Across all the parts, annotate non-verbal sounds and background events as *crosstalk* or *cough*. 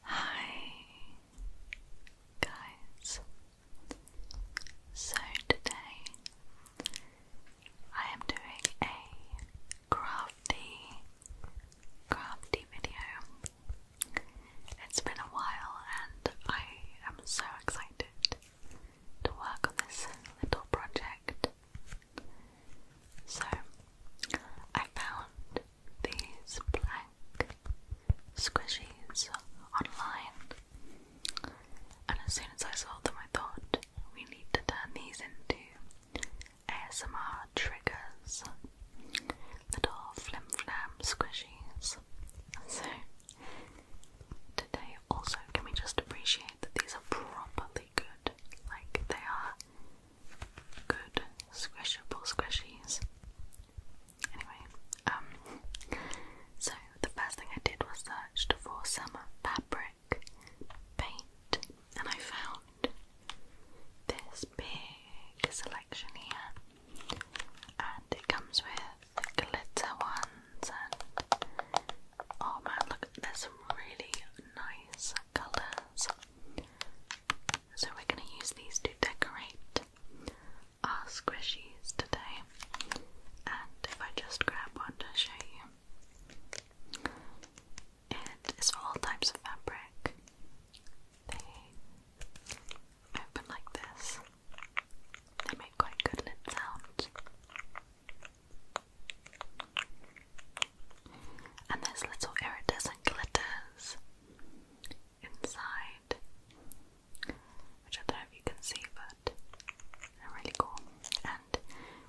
Hi guys. So today I am doing a crafty crafty video. It's been a while and I am so excited to work on this little project. So I found these blank squishies online, and as soon as I saw them, I thought we need to turn these into ASMR triggers little flim squishies. So, today also, can we just appreciate that these are properly good? Like, they are good squishable squishies. Anyway, um, so the first thing I did was searched for some fabric paint, and I found this big selection here, and it comes with glitter ones. And oh man, look, there's some really nice colours. So we're going to use these to decorate our squishies today. And if I just grab one to show you, it is all types of fabric. They open like this. They make quite good lip sounds. And there's little iridescent glitters inside, which I don't know if you can see, but they're really cool. And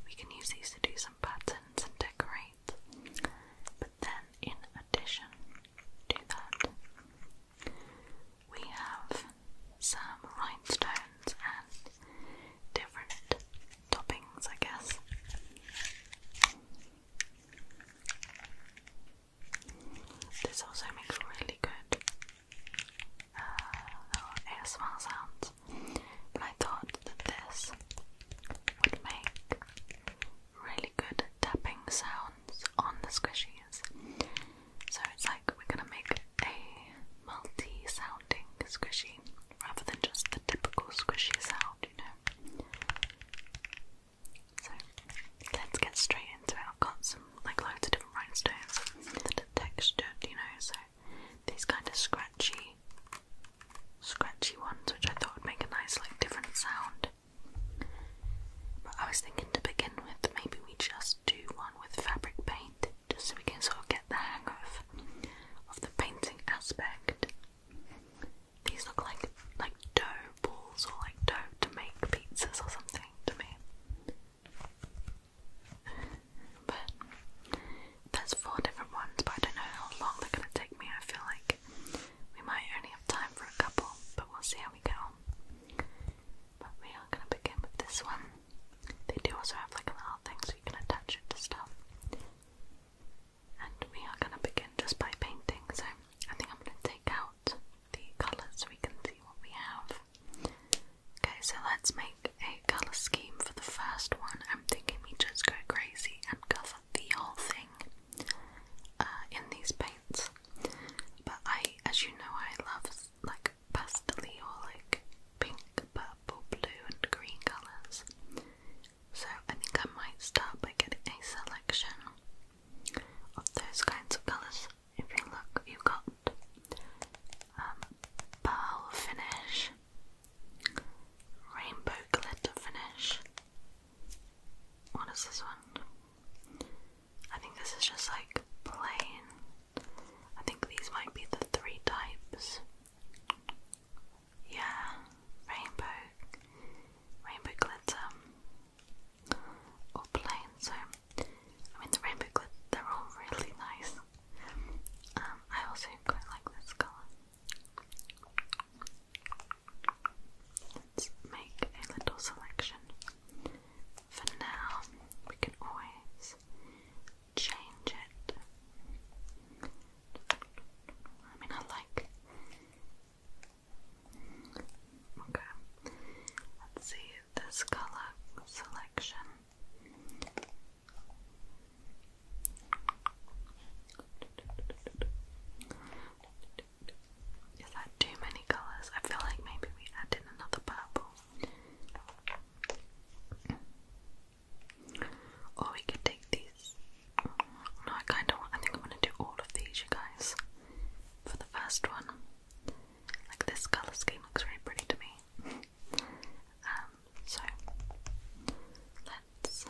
we can use these to do some patterns and decorate. But then, in addition to that, we have some rhinestones and different toppings, I guess. This also makes really good uh, oh, little sounds, I thought that this would make really good tapping sounds on the squishies. So it's like we're gonna make a multi sounding squishy rather than just the typical squishy sound, you know. So let's get straight into it. I've got some like loads of different rhinestones that are textured, you know, so these kind of scratchy scratchy ones which I thought would make a nice like different sound. But I was thinking to begin with maybe we just do one with fabric paint just so we can sort of get the hang of of the painting aspect. These look like like dough balls or like dough to make pizzas or something to me. But there's four different ones, but I don't know how long they're gonna take me. I feel like we might only have time for a couple, but we'll see how we go. But we are gonna begin with this one. They do also have like a little thing so you can attach it to stuff and we are going to begin just by painting. So I think I'm going to take out the colours we can see what we have. Okay, so let's make a colour scheme for the first one. I'm thinking we just go crazy and cover the whole thing uh, in these paints. But I, as you know, I love like pastely or like pink, purple, blue, and green colours. So I think I might start by getting a selection of those kinds of colours. If you look, you've got um, pearl finish, rainbow glitter finish. What is this one? I think this is just like plain. I think these might be the three types. Yeah, rainbow, rainbow glitter, or plain. So, I mean, the rainbow glitz, they're all really nice. Um, I also quite like this colour. Let's make a little selection. For now, we can always change it. I mean, I like Okay. Let's see this color selection. Is that too many colours? I feel like maybe we add in another purple. Or we could take these I kind of I think I'm going to do all of these, you guys. For the first one, like this colour scheme looks really pretty to me. um, so let's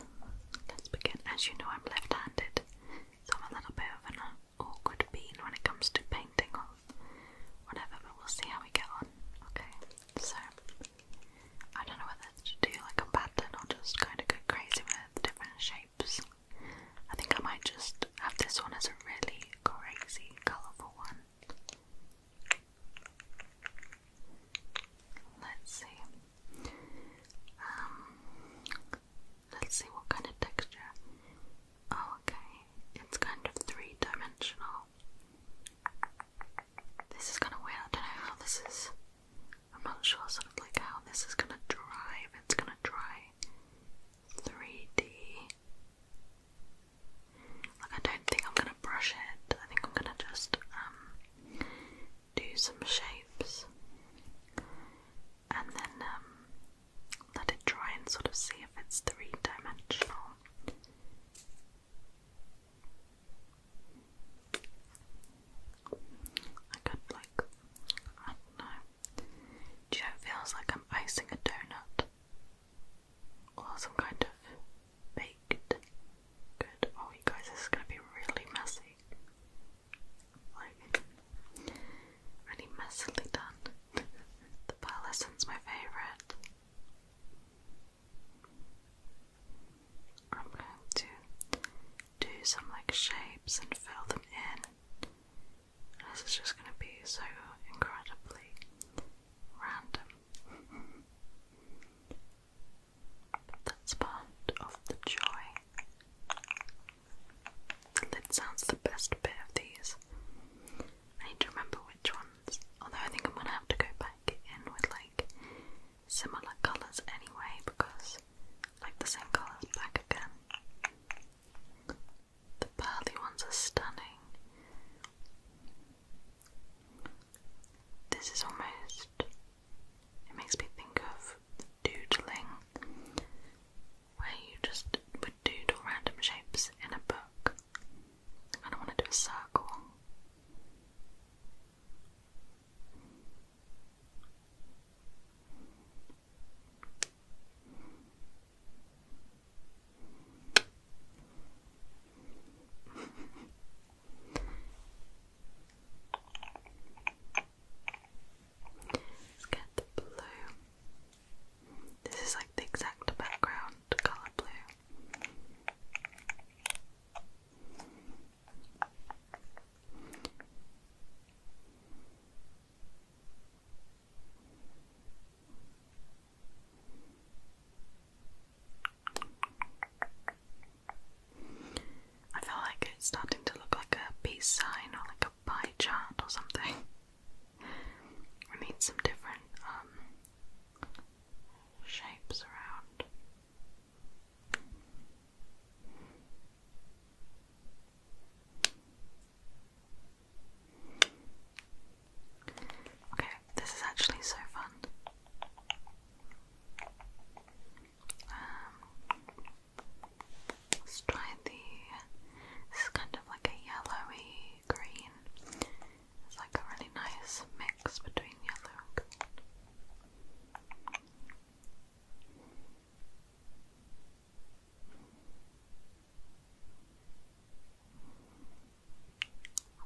let's begin. As you know, I'm left-handed, so I'm a little bit of an awkward bean when it comes to painting or whatever. But we'll see how we get on. Okay, so I don't know whether to do like a pattern or just kind of go crazy with different shades. I think I might just have this one as a really crazy, colourful one. Let's see. Um, let's see what kind of texture. Oh, okay, it's kind of three dimensional. This is kind of weird. I don't know how this is I'm not sure sort of like how this is gonna drive. It's gonna dry 3D. Like I don't think I'm gonna brush it. I think I'm gonna just um do some shapes and then um, let it dry and sort of see if it's three-dimensional. I could like I don't know it feels like I'm icing a donut or some kind of baked good. Oh, you guys, this is gonna be really messy. Like, really messily done. the pearlescent's my favourite. I'm going to do some like shapes and fill them in this is just going to be so incredibly random. That's part of the joy. The lid sounds the best bit of these. I need to remember which ones. Although I think I'm gonna have to go back in with like similar colours anyway because like the same colours back again. The pearly ones are stunning. This is almost, it makes me think of doodling, where you just would doodle random shapes in a book. I don't want to do a circle let get blue. This is like the exact background colour blue. I feel like it's starting to look like a peace sign or like a pie chart or something. *laughs* we need some different um, shapes around. Okay, this is actually so fun. Um, let's try the. This is kind of like a yellowy green. It's like a really nice mix between yellow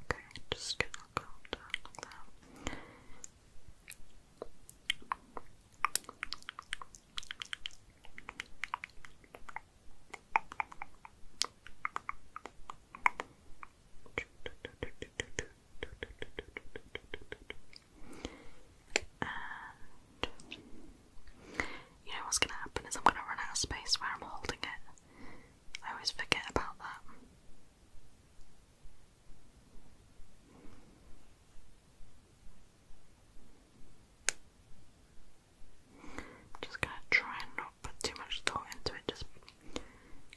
Okay, just gonna go down like that. *laughs* you know what's going to happen is I'm going to run out of space where I'm holding it. I always forget about that. just going to try and not put too much thought into it, just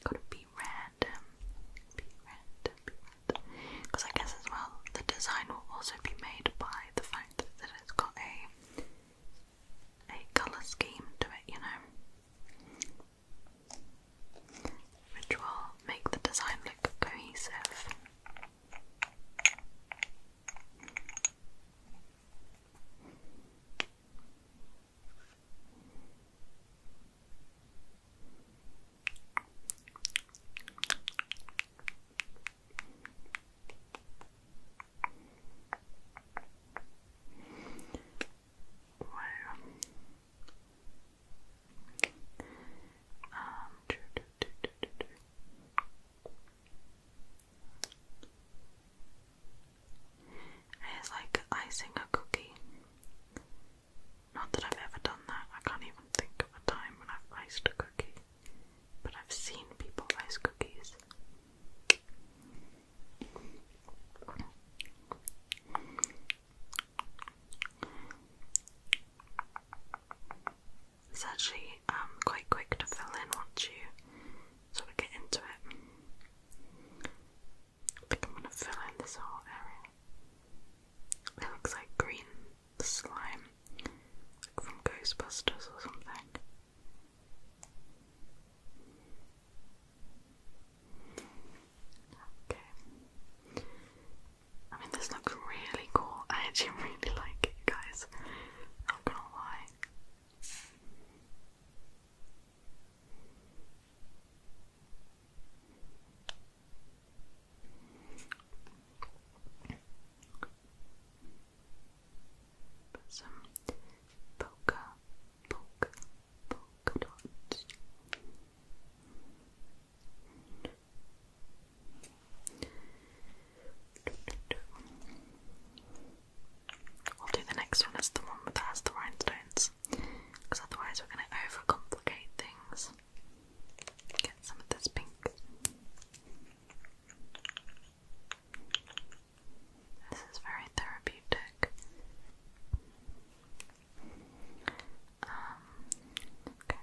gotta be random. Be random, be random. Because I guess as well, the design will also be made by the fact that it's got a a colour scheme to it, you know, which will make the design look cohesive. It's like icing a cookie. Not that I've ever done that. I can't even think of a time when I've iced a cookie but I've seen people ice cookies. It's actually um, quite quick to fill in once you sort of get into it. I think I'm going to fill in this whole area. It looks like green slime from Ghostbusters or something. Okay. I mean, this looks really cool. I actually *laughs* really like it, guys. Not gonna lie some polka, polka, polka dots. We'll do the next one as the one that has the rhinestones, because otherwise we're going to overcomplicate things. Get some of this pink. This is very therapeutic. Um, okay.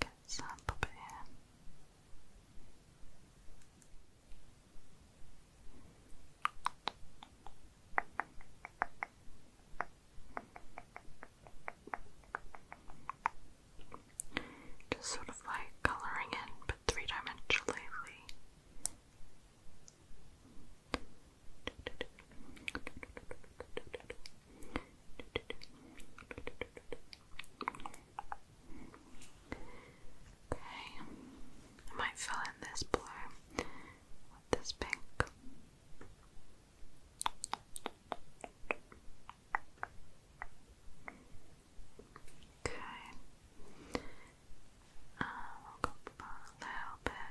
Get some up here. Okay. Just sort of like coloring in, but three dimensionally. Okay, I might fill in this blue with this pink. Okay. Um, a little bit around here.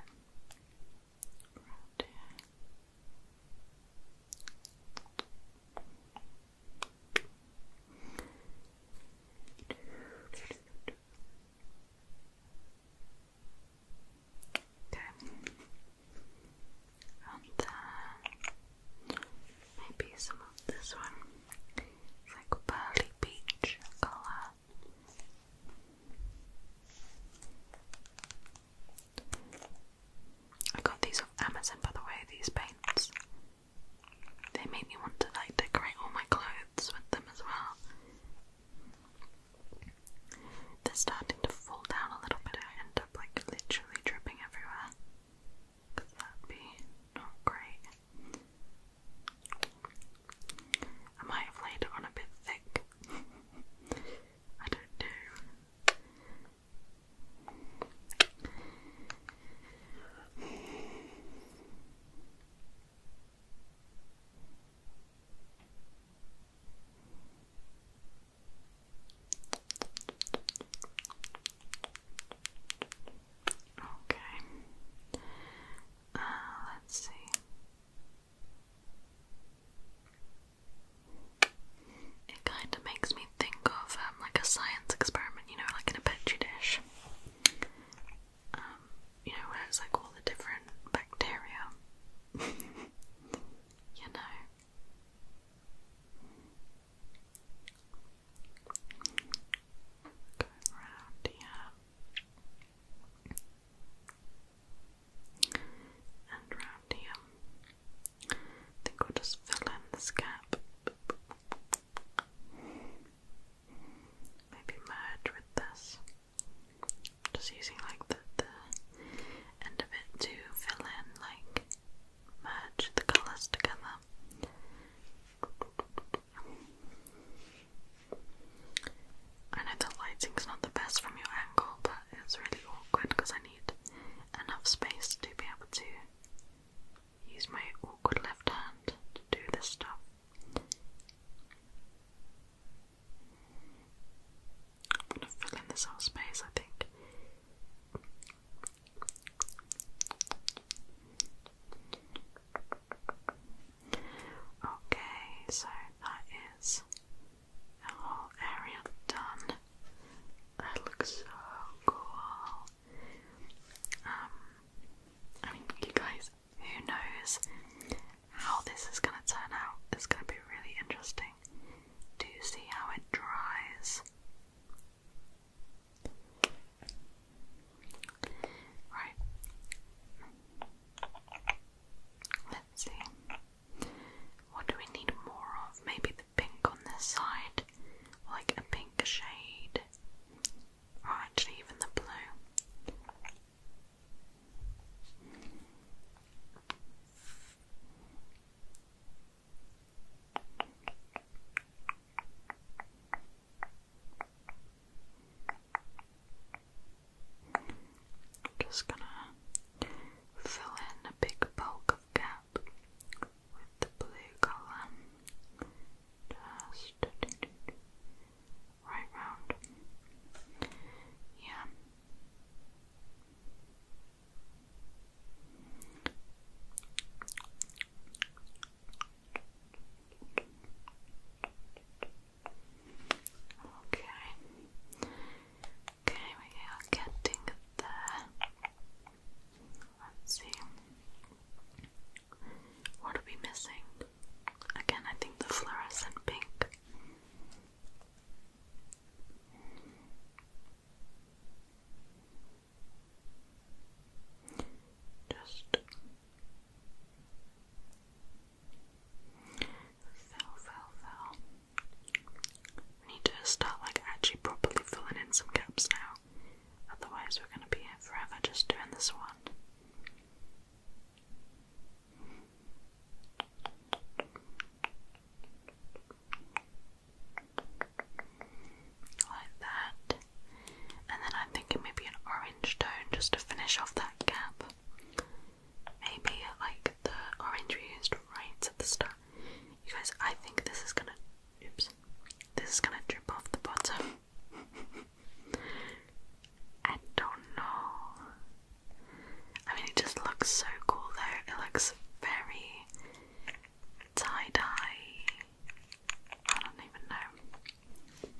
Okay and then uh, maybe some of this one. It's like pearly peach colour. I got these off Amazon by the way, these paints. They made me want to like decorate all my clothes with them as well. They're starting to fall down a little bit and like literally dripping everywhere. Because that be not great. I might have laid it on a bit thick. *laughs* I don't know. Okay. Uh, let's see. It kind of makes me think of um, like a science experiment, you know, like in a petri dish. Um, you know, where it's like all the different bacteria. *laughs* you know. Go around here and round here. I think we'll just fill in this gap. Maybe merge with this. Just using like the end of it to fill in like merge the colours together. I know the lighting's not the best from your angle, but it's really awkward because I need enough space to be able to use my awkward left hand to do this stuff. I'm gonna fill in this whole space, I think. Okay, so that is the whole area done. That looks so cool. Um, I mean, you guys, who knows how this is gonna turn out? It's gonna be really interesting to see how it dries Right. Let's see. What do we need more of? Maybe the pink on this side, like a pink shade, or actually even the blue. Just gonna fill in a big bulk of gap with the blue colour. Just right round. Yeah. Okay. Okay, we are getting there. Let's see. What are we missing? Again, I think the fluorescent pink. Just fill, fill, fill. need to start like actually properly filling in some gaps now. Otherwise we're gonna be here forever just doing this one like that, and then I'm thinking maybe an orange tone just to finish off that gap. Maybe like the orange used right at the start. You guys, I think this is gonna. Oops, this is gonna drip off the bottom. *laughs* I don't know. I mean, it just looks so cool though. It looks very tie dye. I don't even know.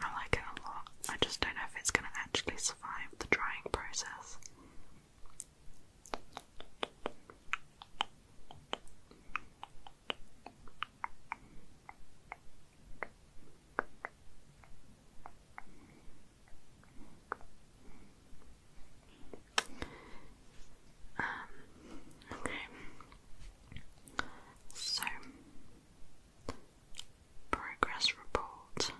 I like it a lot. I just don't know if it's going to actually survive the drying process. Um, okay. So, progress report.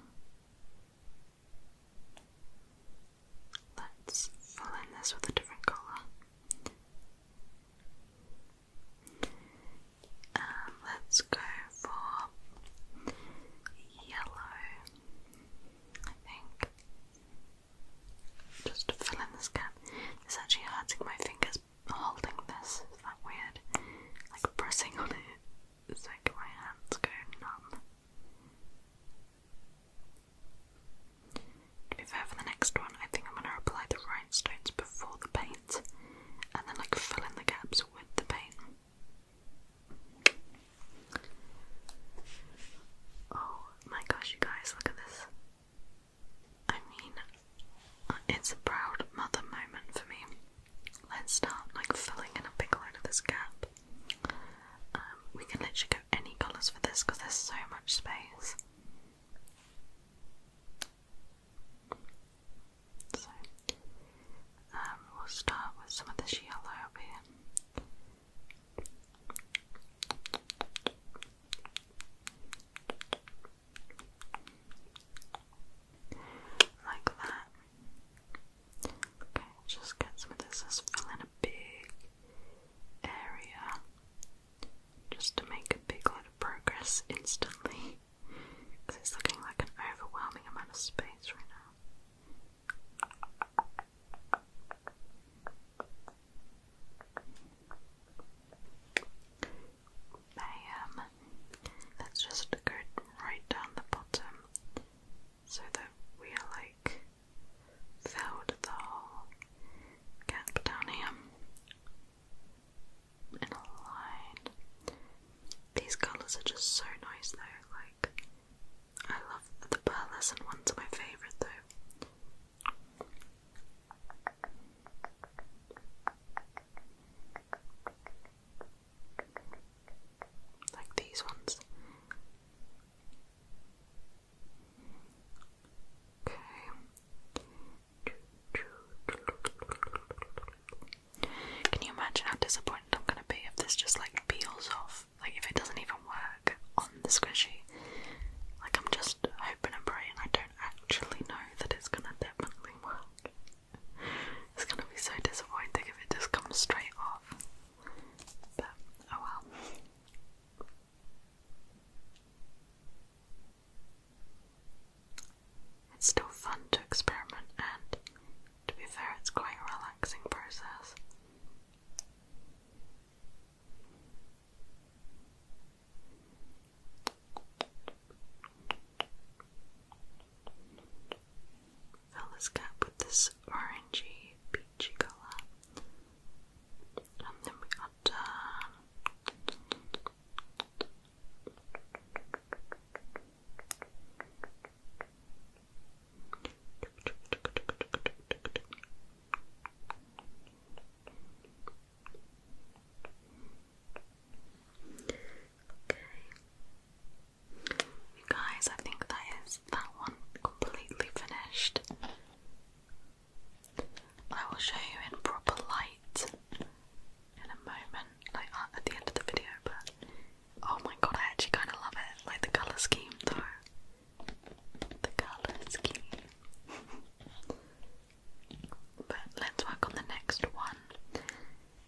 Let's fill in this with a different colour. Um, let's go for yellow, I think just fill in this gap. It's actually hurting my fingers holding this. Is that weird? Like pressing on it. It's my hands go numb. To be fair, for the next one, I think I'm gonna apply the rhinestones before the paint, and then like fill in the gaps with the paint. All oh, my gosh, you guys, look at this. I mean, uh, it's a proud mother moment for me. Let's start like filling in a big load of this gap. Um, we can literally go any colours for this because there's so much space. So, um, we'll start with some of this yellow here. Like that. Okay, just get some of this. Let's in a big area just to make a big lot of progress instantly. Because it's looking like an overwhelming amount of space right now um, let just go right down the bottom so that we are like filled the whole gap down here in a line. These colours are just so nice though, like I love the pearlescent ones my favourite though. Like these ones. Okay. Can you imagine how disappointed I'm gonna be if this just like peels off? Like if it doesn't even work on the squishy, like I'm just hoping and praying. I don't actually know that it's gonna definitely work. It's gonna be so disappointing if it just comes straight off. But oh well. It's still fun to experiment, and to be fair, it's quite a relaxing process. Fill this cup with this orangey, peachy colour, and then we are done. Okay. You guys, I think that is that one completely finished. I will show you in proper light in a moment, like uh, at the end of the video, but oh my god, I actually kind of love it, like the colour scheme though. The colour is but let's work on the next one.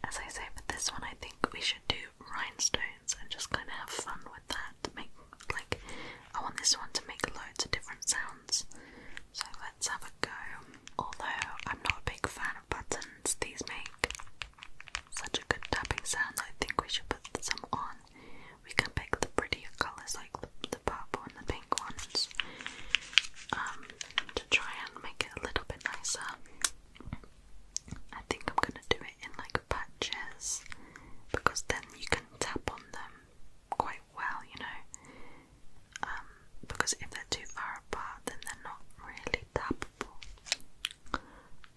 As I say, for this one, I think we should do rhinestones and just kind of have fun with that. Make like I want this one to make loads of different sounds. So let's have a go. Although I'm not a big fan of buttons, these make such a good tapping sound. I think we should put some on we can pick the prettier colours like the, purple and the pink ones um, to try and make it a little bit nicer. I think I'm going to do it in like patches because then you can tap on them quite well, you know. Um, because if they're too far apart, then they're not really tappable.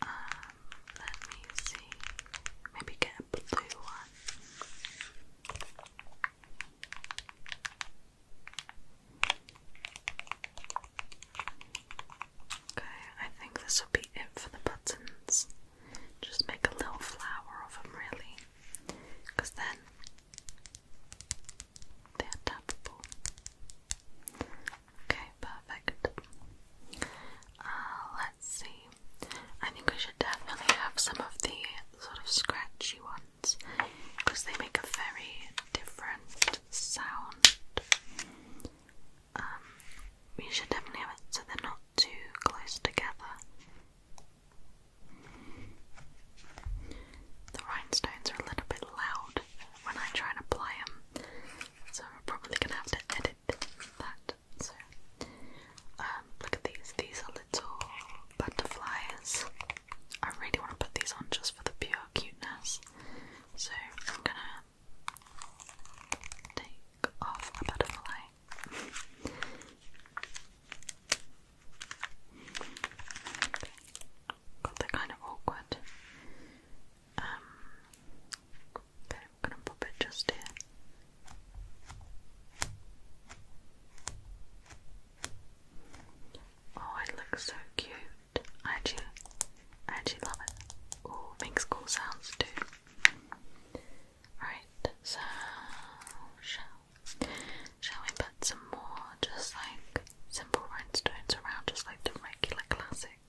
Um, let me see. Maybe get a blue one. Okay, I think this will be it for the buttons. Just make a little flower of them, really, because then they're tappable. Okay, perfect. Uh, let's see. I think we should definitely have some of the sort of scratchy ones because they make a very different sound. Um, we should definitely have it so they're not too close together. The rhinestones are a little bit loud when I try and apply them, so I'm probably gonna have to edit that so, um, look at these. These are little butterflies. I really want to put these on just for the pure cuteness. So, I'm gonna take off a butterfly. okay. *laughs* God, kind of awkward. Um, gonna pop it just here. Oh, it looks so cute. I actually, I actually love it. Oh, makes cool sounds too. Right, so shall shall we put some more just like simple rhinestones around, just like the regular classic,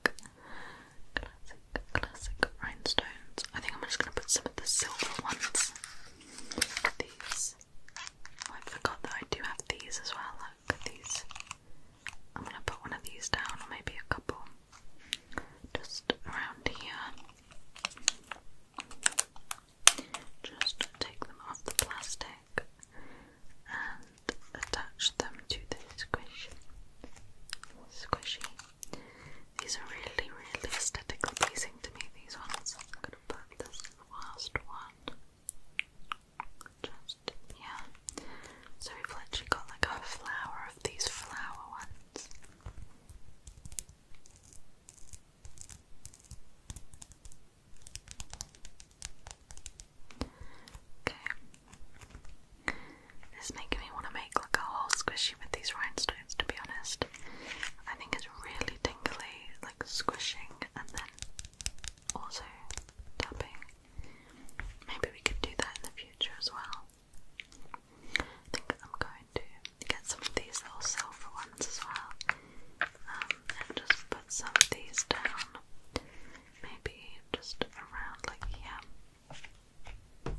classic, classic, classic rhinestones. I think I'm just gonna put some of the silver ones. These. Oh, I forgot that I do have these as well. Look at these. I'm gonna put one of these down, or maybe a couple. Just around here. Just take them off the plastic and attach them to the squish. Squishy. These are really, really aesthetically pleasing to me, these ones. I'm gonna put this last one just yeah. So we've literally got like a flower of these flower ones. Okay. This making me want to make like a whole squishy with these rhinestones to be honest. I think it's really tingly, like squishing and then also tapping. Maybe we could do that in the future as well. I am going to get some of these little silver ones as well. Um, and just put some of these down. Maybe just around like here. Um,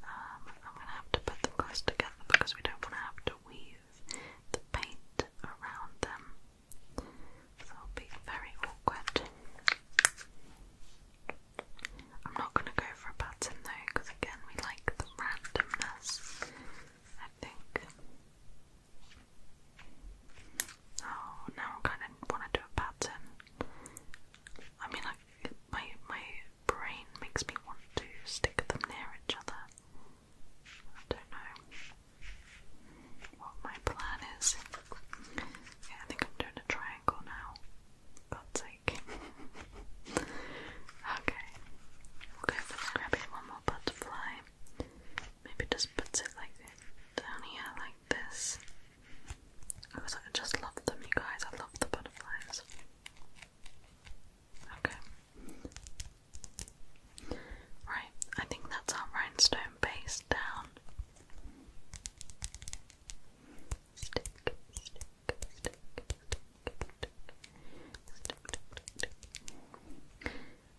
I'm gonna have to put them close together because we don't want to have to weave the paint around them. So will be very awkward. I'm not gonna go for a pattern though, because again we like the randomness. I think. Oh, now I kind of want to do a pattern. I mean, I, my my brain makes me want to stick them near each other. I don't know what my plan is. I think I'm doing a triangle now. God's sake. *laughs* okay, we'll go for grabbing one more butterfly. Maybe just puts it like down here, this. I was like, I just love them, you guys. I love the butterflies. Okay. Right, I think that's our rhinestone base down.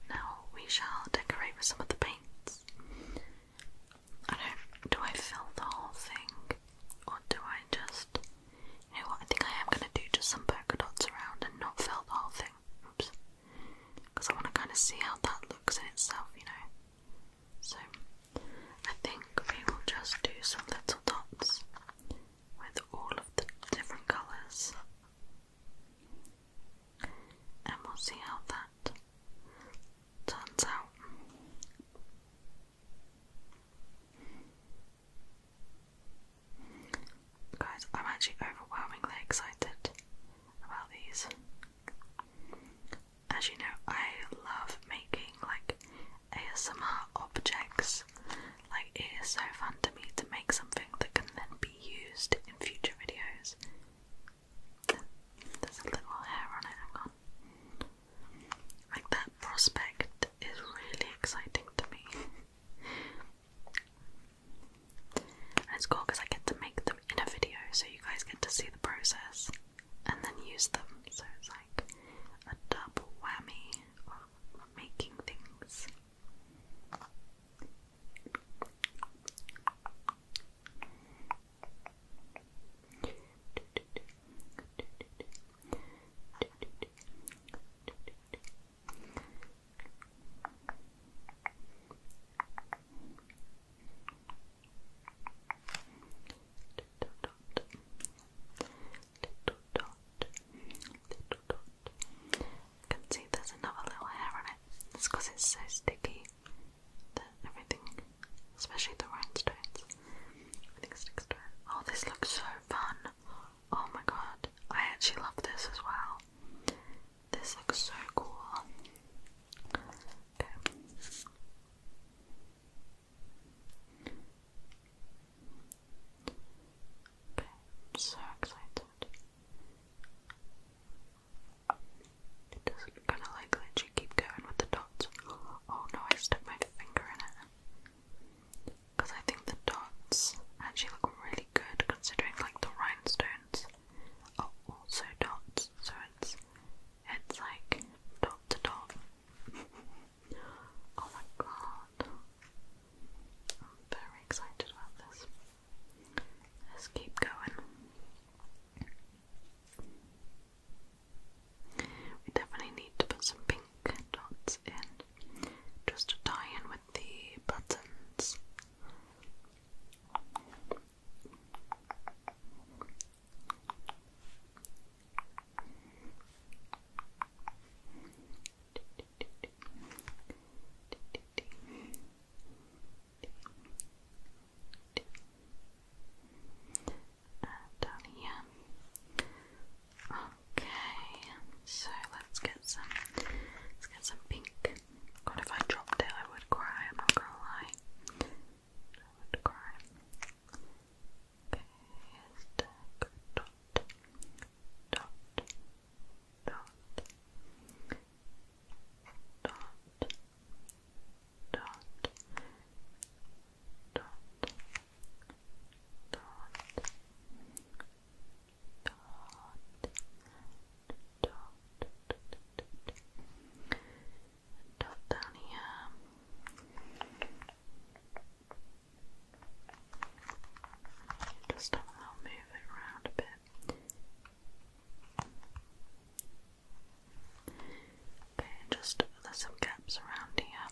Now we shall decorate with some of the paints. I don't. Do I fill the whole thing, or do I just? You know what? I think I am gonna do just some polka dots around and not fill the whole thing. Oops. Because I want to kind of see how that looks in itself, you know. So I think we will just do some little dots with all of the different colours. And we'll see how that Turns out. Guys, I'm actually overwhelmingly excited about these. As you know, I love making like ASMR objects. Like, it is so fun to me to make something that can then be used in future videos. There's a little hair on it, hang on. Like that prospect is really exciting to me. it's cool because I get to make them in a video so you guys get to see the process and then use them. So it's like a double whammy of making things. Little dot, little dot. I can see there's another little hair on it. It's because it's so sticky the, everything, especially the rhinestones. Everything sticks to it. Oh, this looks so fun! Oh my god, I actually love this as well. This looks so cool. Okay. so excited. It kind of like let keep going with the dots. Oh no, I stuck my finger in it. Because I think the dots actually look really good considering like the rhinestones are also dots. So it's it's like dot to dot. *laughs* oh my god. I'm very excited about this. Let's keep going. We definitely need to put some pink dots in just to tie in with the buttons uh, down Okay, so let's get some. Let's get some pink. God, if I dropped it, I would cry. I'm not gonna lie. I would cry dot dot dot dot dot dot down just I'll move it around a bit just there's some gaps around here.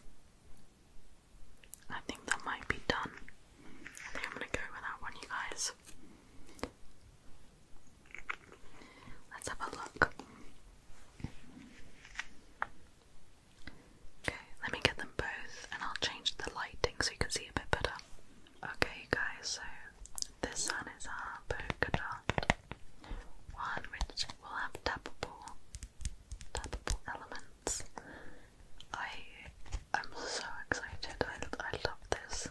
I think that might be done. I think I'm gonna go with that one, you guys. Let's have a look. Okay, let me get them both and I'll change the lighting so you can see a bit better. Okay, guys, so this one is our polka one which will have tappable, tappable elements. I am so excited. I, I love this.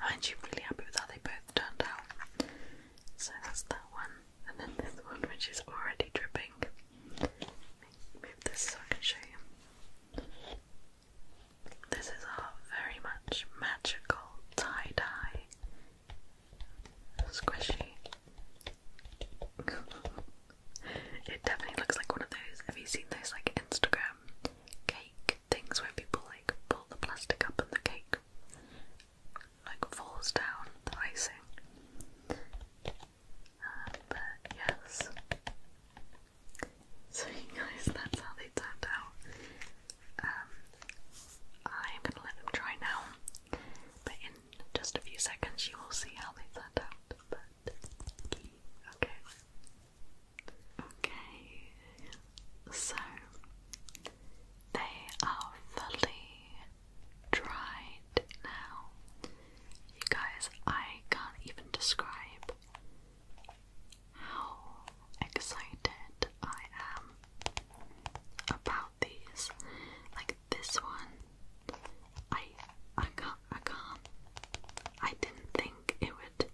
I'm actually really happy with how they both turned out. So that's that one, and then this one which is already dripping. Move this so I can show you. This is our very much magical tie dye Squishy. it definitely looks like one of those. Have you seen those like Instagram cake things where people like pull the plastic up and the cake like falls down the icing? Uh, but yes. So guys, that's how they turned out. I'm um, gonna let them dry now, but in just a few seconds you will see how they turned out. But okay, okay, so they are fully dried now. You guys, I can't even describe how excited I am about these. Like this one, I I can't I can't I didn't think it would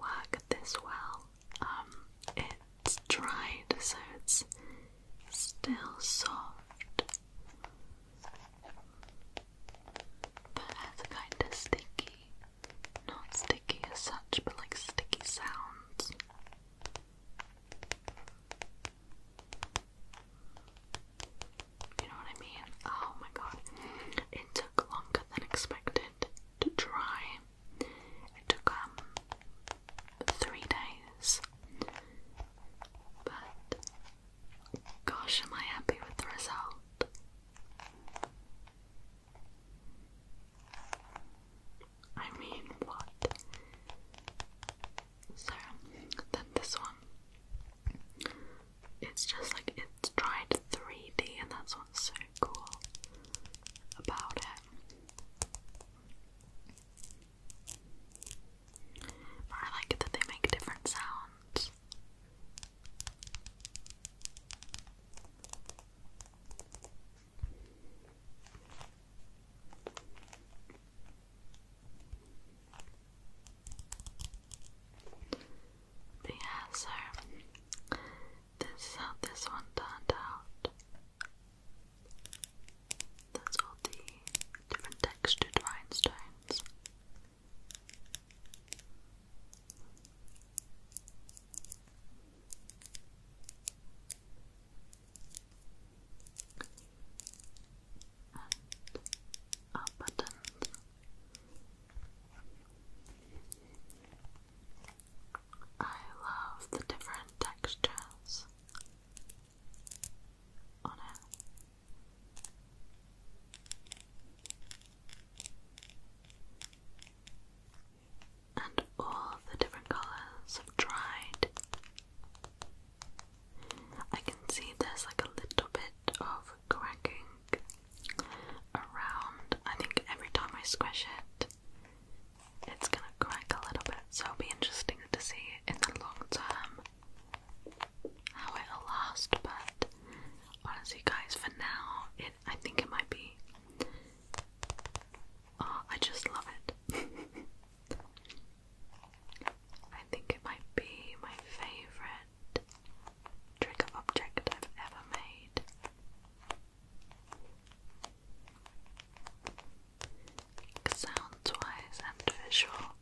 work this well. Um, it's dried, so it's still soft, but has kind of sticky, not sticky as such, but like sticky sounds. You know what I mean? Oh my god. It took longer than expected to dry. It took um three days. But gosh am I happy with the result. I mean, what? So, then this one. It's just like it's to 3D, and that's what's so cool about it. I like that they make different sounds. But yeah, so this is how this one turned out. That's all the different textured rhinestones and our I love the different textures on it and all the different colors have dried. I can see there's like a little bit of cracking around. I think every time I squish it, it's gonna crack a little bit, so it'll be interesting to see in the long term how it'll last. But honestly, guys, for now, it I think it might be Oh, I just love it. *laughs* I think it might be my favourite trigger object I've ever made. Sounds and visual.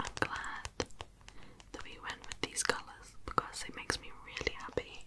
I'm glad that we went with these colours because it makes me really happy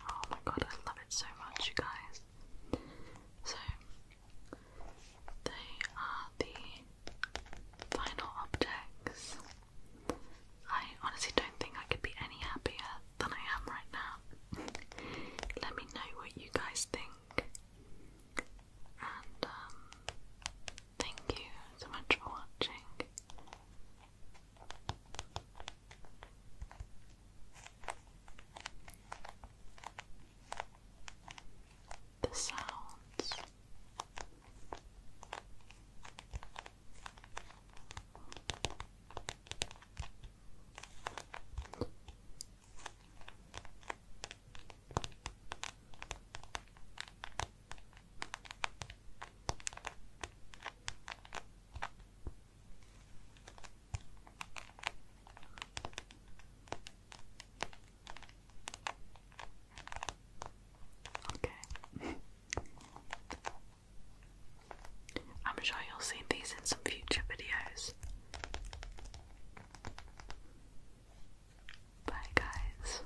Oh my god, I love it so much, you guys. So, they are the final objects. I honestly don't think I could be any happier than I am right now. *laughs* Let me know what you guys think. And um, thank you so much for watching. The sounds Okay. *laughs* I'm sure you'll see these in some future videos. Bye, guys.